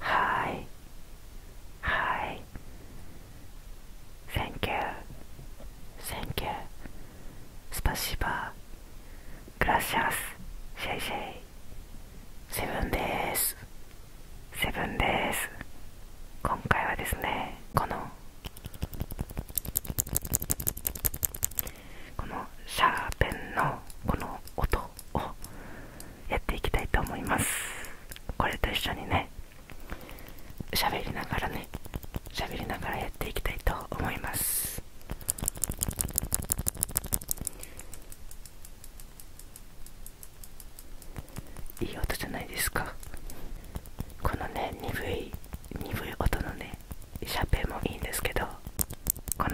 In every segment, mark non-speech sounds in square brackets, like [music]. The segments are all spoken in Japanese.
はいはいセンキュ k センキュ h スパシバー。グラシャスシェイシェイセブンですセブンです今回はですねこのこのシャーペンのこの音をやっていきたいと思いますこれと一緒にね喋りながらね喋りながらやっていきたいと思いますいい音じゃないですかこのね鈍い鈍い音のねシャペもいいんですけどこの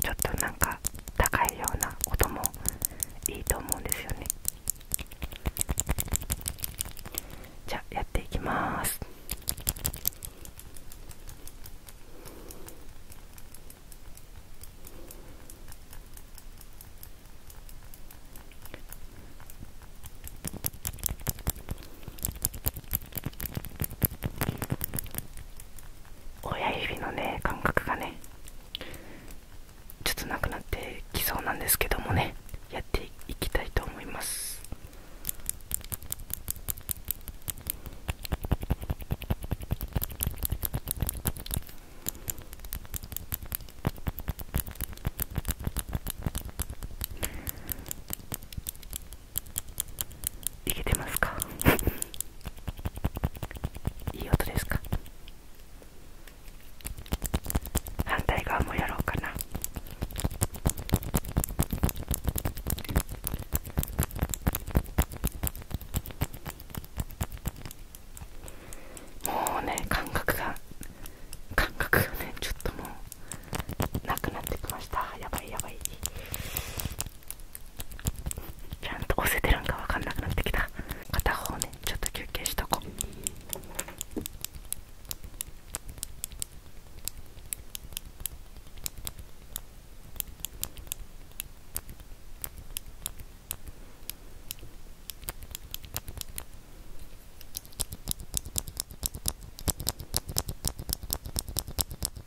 ちょっとなんか高いような音もいいと思うんですよねじゃやっていきます親指のね感覚がねちょっとなくなってきそうなんですけどもねやっていきたいと思いますいけてますか [laughs] いい音ですか反対側もやろうかなもうね感覚が感覚がねちょっともうなくなってきましたやばいやばいちゃんと押せてるんか分かんなくなってきた片方ねちょっと休憩しとこう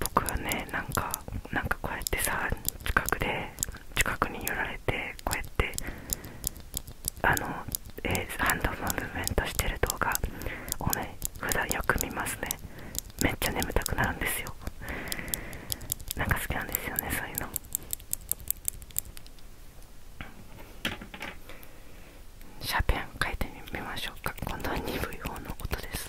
僕はねなんかなんかこうやってさ近くで近くに寄られてこうやってあの、えハンドムンブメントしてる動画をね普段よく見ますねめっちゃ眠たくなるんですよなんか好きなんですよねそういうのシャーペンを変いてみましょうか今度は鈍い方の音です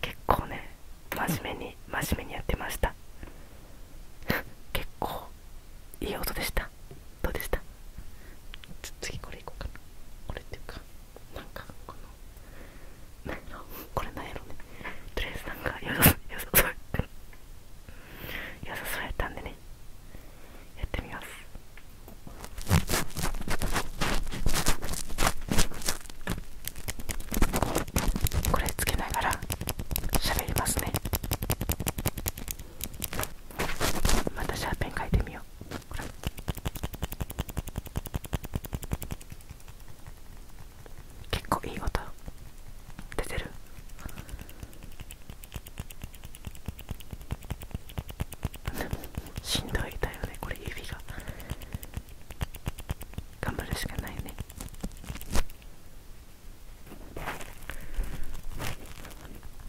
結構ね真面目に真面目にやってました結構いい音でしたどうでした次これいこうかなこれっていうかなんかこの何のこれなんやろねとりあえずなんかよさそう良よそうやったんでねやってみますこれつけながらしゃべりますねまたシャーペン書いてみよう結構いい音出てる [laughs] しんどいだよねこれ指が頑張るしかないね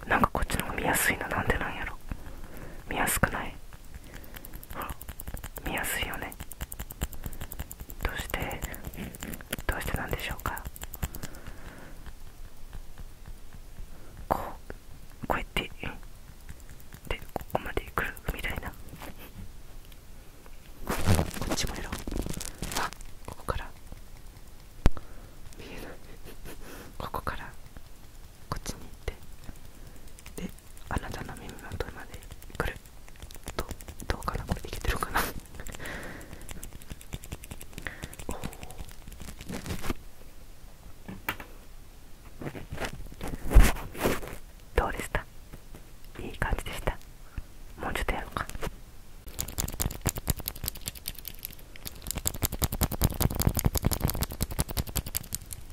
なんかこっちの方が見やすいのなんでなんやろ見やすくない見やすいよねどうしてどうしてなんでしょうかこうこうやってでここまで来るみたいなこっちもやろうあここから見えないここからこっちに行ってであなんの耳元までくると、どうかなこれできてるかなおおどうでしたいい感じでしたもうちょっとやろうか [laughs]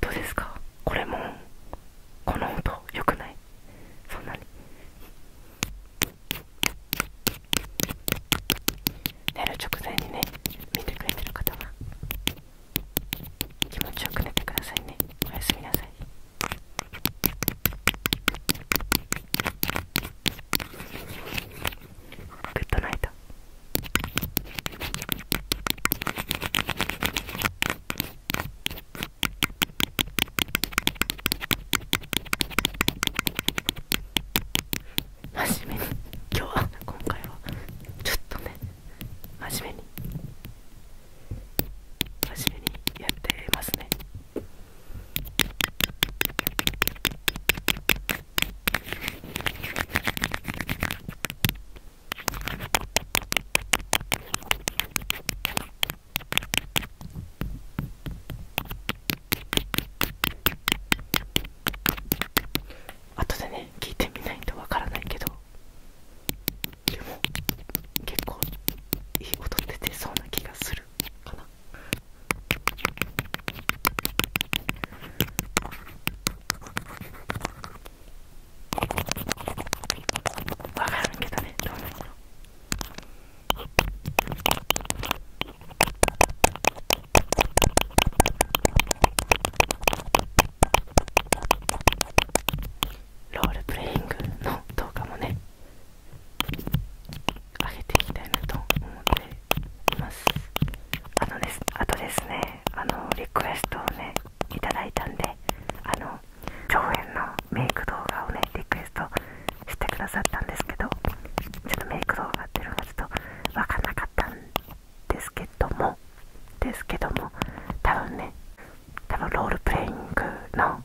どうですかこれもこの音良くないそんなに寝る直前にね見てくれてる方は気持ちよく寝てくださいねおやすみなさい [laughs] グッドナイト真面目に今日は今回はちょっとね真面目に真面目にやってますね後でね聞いてみないとわからないけどでも結構いい音出てそうな気がするかなわかるけどねどうなんだろうロールプレイングの動画もね上げていきたいなと思ってあのですあとですねあのリクエストをねいただいたんであの長編のメイク動画をねリクエストしてくださったんですけどちょっとメイク動画っていうのがちょっと分かんなかったんですけどもですけども多分ね多分ロールプレイングの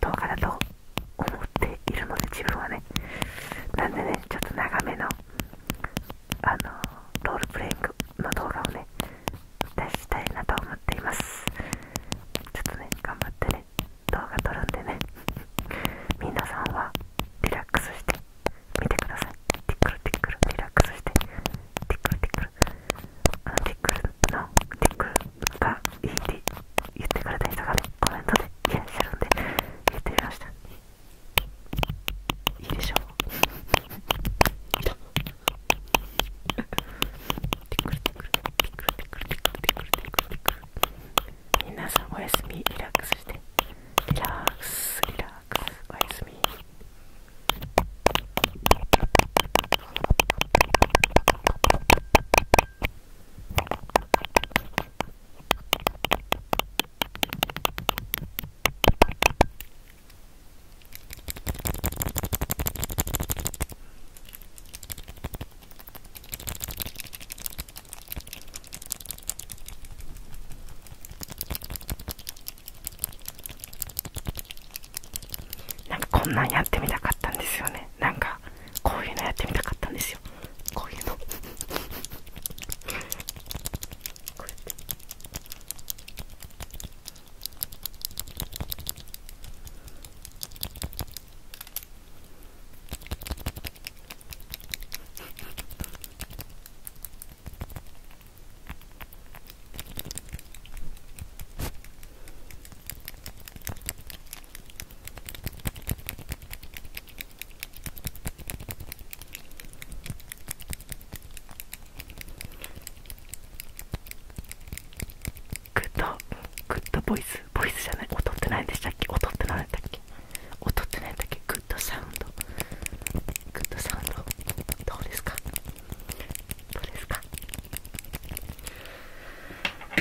動画だと思っているので自分はねなんでねちょっと長めのあのロールプレイングの動画をね出したいなと思っていますちょっとね頑張ってね動画撮るんでね皆さんはリラックスして見てくださいティックルティックルリラックスしてティックルティックルあのティックルのティックルがいいって言ってくれた人がねコメントでいらっしゃるんで言ってみましたいいでしょういたテクルテクルテクルテクルテクルテクルテクルテクル皆さんおやすみリラックスしてリラックスリラックスおやすみなんかこんなんやってみたかったんですよねなんかこういうのやってみたかったんですよこういうのグッドグッドボイスボイスじゃない音って何でしたっけ音って何だったっけ音って何だっけグッドサウンドグッドサウンドどうですかどうですか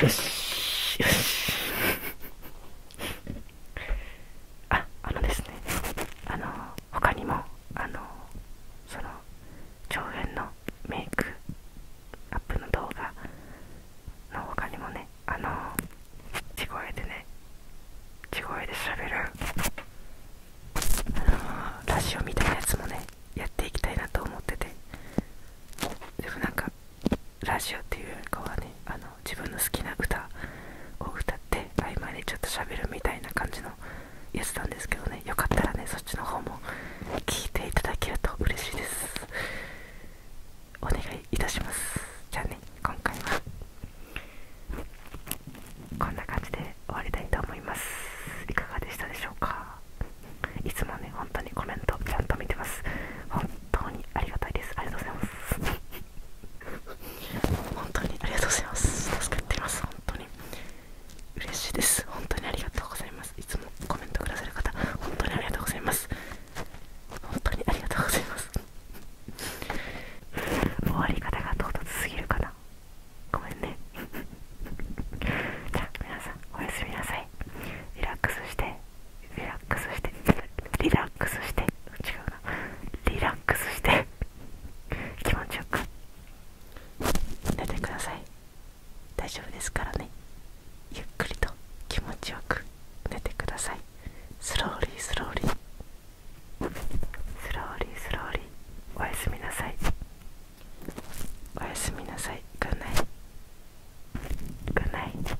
よしよしああのですねあの他にもあのその長編のメイクアップの動画の他にもねあの地声でね地声で喋るあのラジオみたいなやつもねやっていきたいなと思っててでもなんかラジオっていう子はねあの自分の好きな歌を歌って合間にちょっとしゃべるみたいな感じのやつなんですけどねよかったらねそっちの方も聞いていただけると嬉しいですお願いいたしますじゃあね今回はこんな感じで終わりたいと思いますいかがでしたでしょうかいつもね本当にコメントちゃんと見てます本当にありがたいですありがとうございます本当にありがとうございます助かってます本当に嬉しいです本当にありがとうございますいつもコメントくださる方本当にありがとうございます本当にありがとうございます終わり方が唐突すぎるかなごめんね [laughs] じゃあ皆さんおやすみなさいリラックスしてリラックスしてリラックスして違うなリラックスして気持ちよく寝てください大丈夫ですからねゆっくりと気持ちよく寝てくださいスローリースローリースローリースローリーおやすみなさいおやすみなさいグッナイグッナイ